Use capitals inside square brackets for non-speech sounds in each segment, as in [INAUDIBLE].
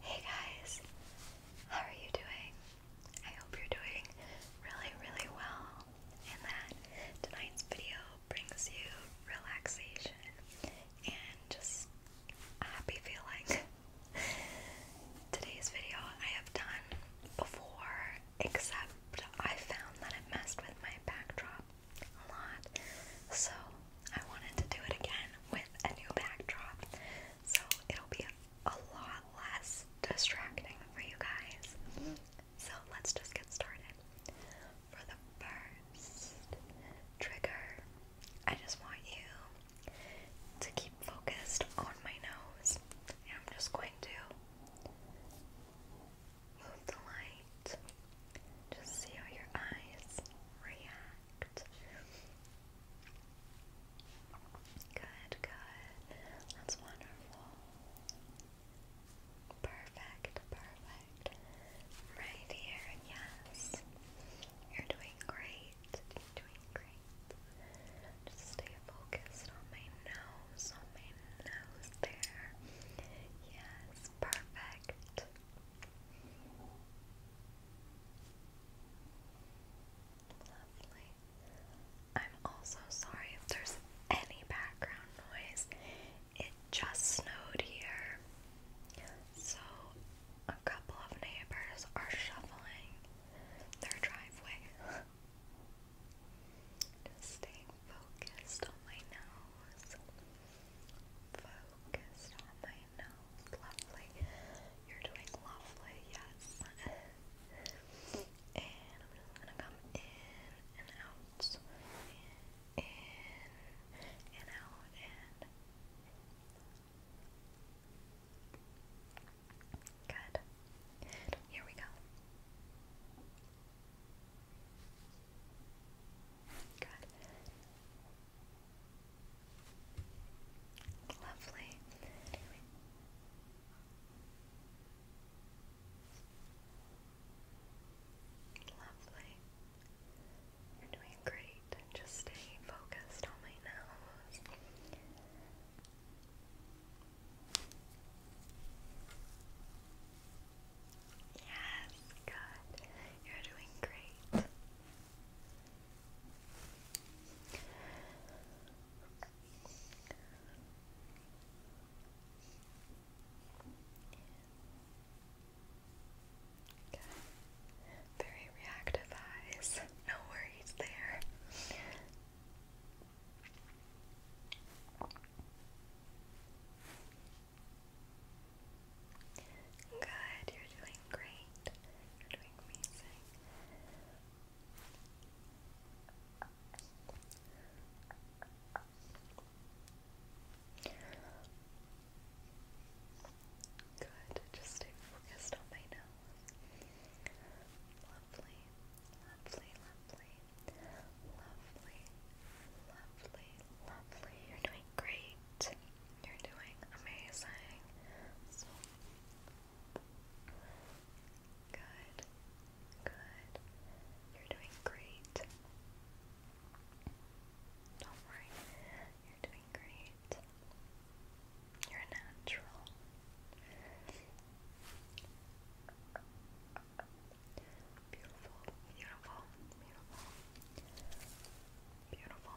Hey guys, how are you doing? I hope you're doing really, really well, and that tonight's video brings you relaxation and just happy feeling. [LAUGHS] Today's video I have done before, except I found that it messed with my backdrop a lot, so I wanted to do it again with a new backdrop, so it'll be a, lot less distracting for you guys. So let's just get started. For the first trigger, I just want you to keep focused on my nose, and I'm just going to move the light. Just see how your eyes react perfect. Good, good. That's wonderful. Perfect, perfect. Right here, yes. You're doing great. doing great. Just stay focused on my nose, on my nose there. Yes, perfect. I'm also sorry if there's any background noise. It just snowed here. So a couple of neighbors are shoveling their driveway. [LAUGHS] Just staying focused on my nose focused on my nose. Lovely. You're doing lovely, yes. and I'm just gonna come in and out. In and out and good. Here we go. Good. Lovely. Lovely. You're doing great. just stay focused on my nose. Yes, good. You're doing great. Okay. Very reactive eyes. No worries there. Good, you're doing great. You're doing amazing. Good, just stay focused on my nose. Lovely, lovely, lovely, lovely, lovely, lovely. You're doing great. You're doing amazing. So good. Good. You're doing great. Don't worry. You're doing great. You're natural. Beautiful, beautiful, beautiful, beautiful,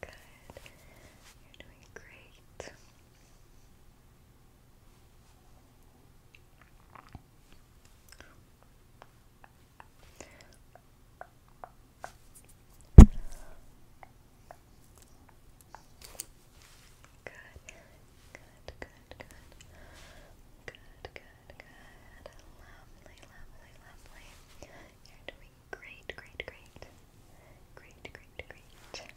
Good. You're doing great. Good. Good, good, good. Good, good, good. Lovely, lovely, lovely. You're doing Great, great, great. Great, great, great.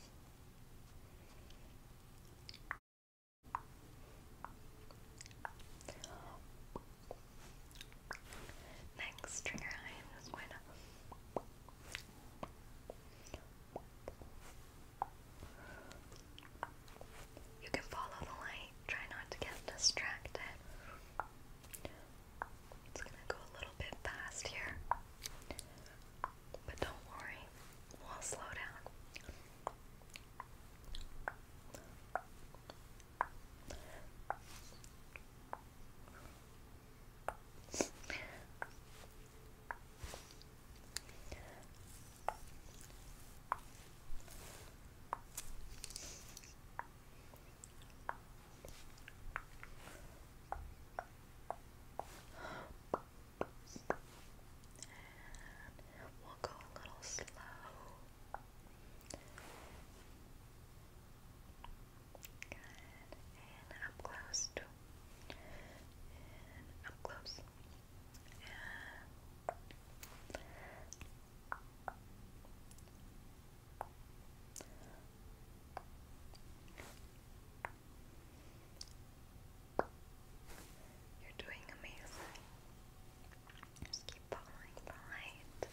Next trigger I am just going to you can follow the light, try not to get distracted. It's gonna go a little bit fast here, but don't worry, we'll slow down. And we'll go a little slow. Good. And up close. Too. And up close. And you're doing amazing. Just keep following the light.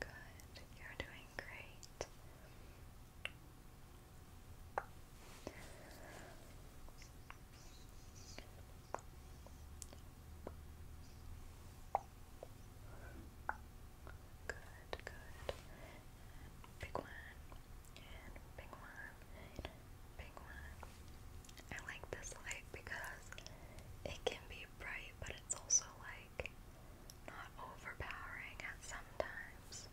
Good, you're doing great. Good, good. Big one, big one, big one. I like this light because it can be bright, but it's also like not overpowering at some times,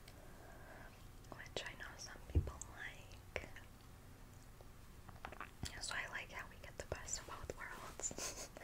which I know some people like. So I like how we get the best of both worlds. [LAUGHS]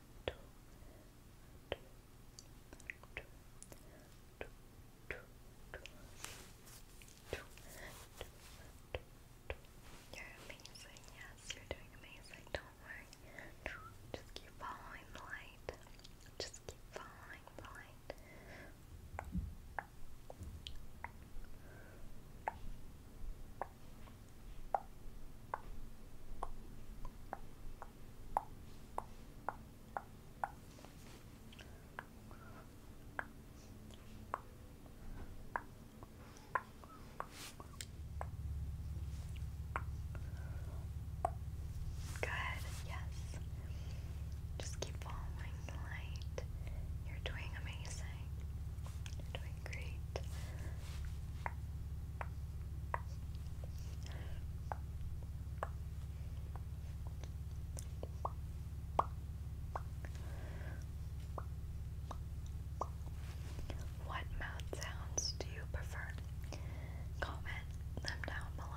You're amazing, yes, you're doing amazing, don't worry. Just keep following the light. Just keep following the light. Good, yes. Just keep following the light. You're doing amazing. doing great. What mouth sounds do you prefer? Comment them down below.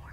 or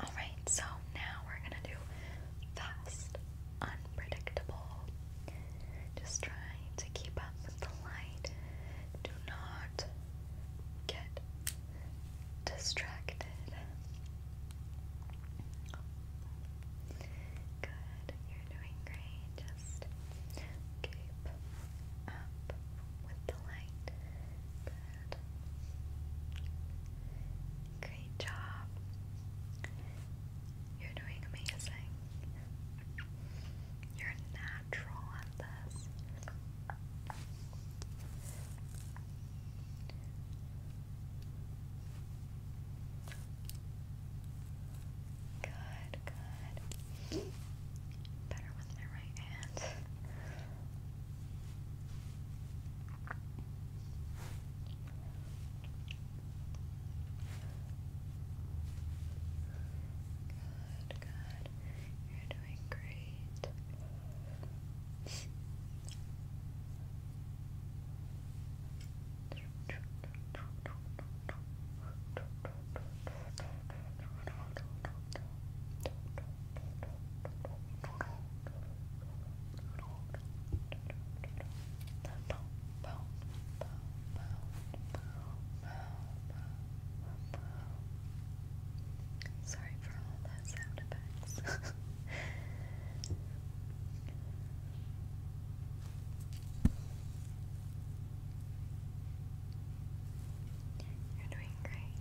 Alright, so now we're gonna do fast, unpredictable. Just try to keep up with the light. Do not get distracted. Good, you're doing great. Just keep up with the light. Good. Great job. You're doing amazing. You're natural at this. Good, good. Better with my right hand. Good, good. You're doing great. Sorry for all those sound effects. [LAUGHS] You're doing great.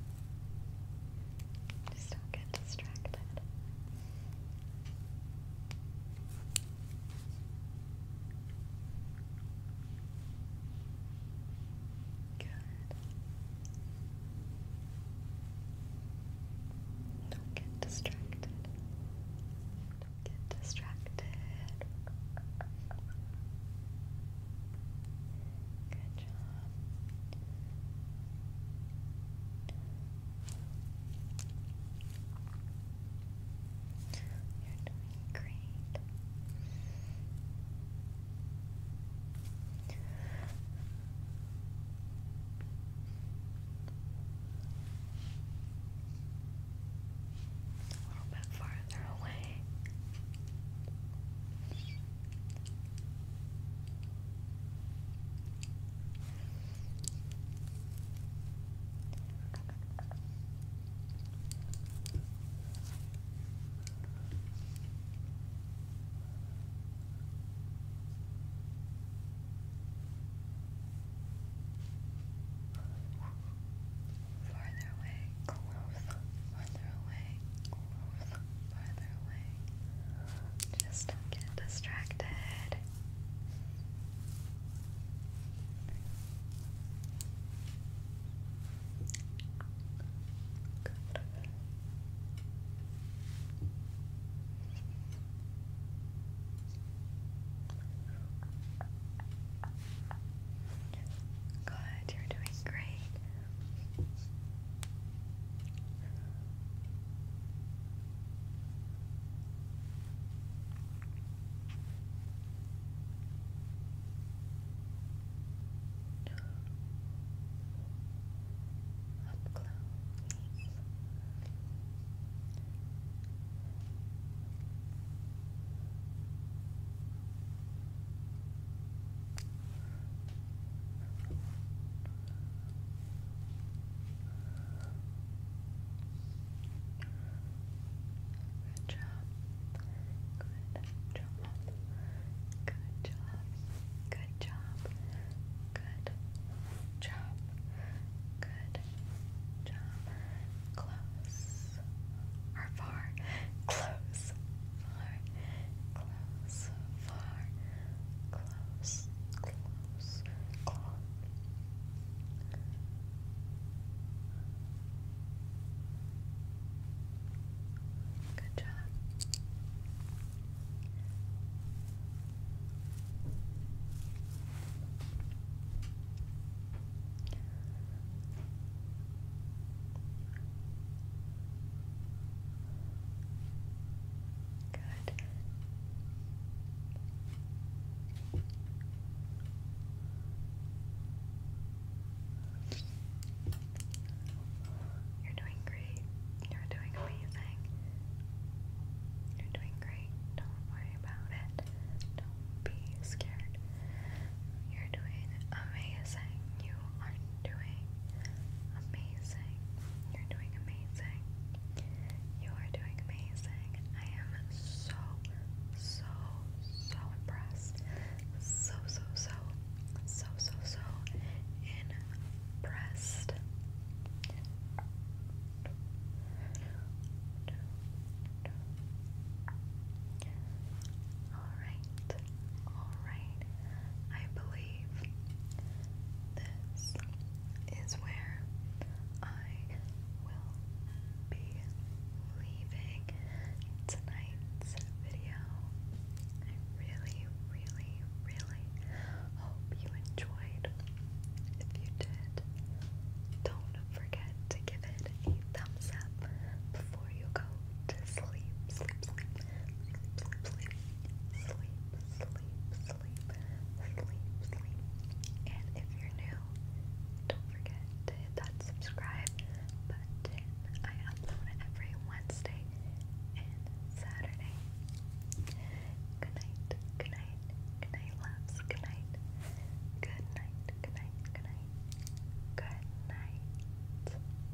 Just don't get distracted. Good. Don't get distracted. Don't get distracted. Good You're doing great. A little bit farther away. Farther away, close, farther away, farther away. Just don't get distracted. Good. Good, you're doing great. Up close. Good job. Good job. Good job. Good job. Good job. Good job. Close or far. Close close, far, close, close, close. Good job. Good. You're doing great. You're doing amazing. You're doing great. Don't worry about it. Don't be scared. You're doing amazing. You are doing amazing. You're doing amazing. You are doing amazing. I am so, so, so impressed. So, so, so, so, so, so impressed. Alright, alright, I believe this is where I will be leaving tonight's video. I really, really, really hope you enjoyed. If you did, don't forget to give it a thumbs up before you go to sleep. Sleep, sleep, sleep, sleep, sleep, sleep, sleep. And if you're new, don't forget to hit that subscribe button. I upload every Wednesday and Saturday. Good night, good night, good night, loves, good night. Good night, good night, good night, good night.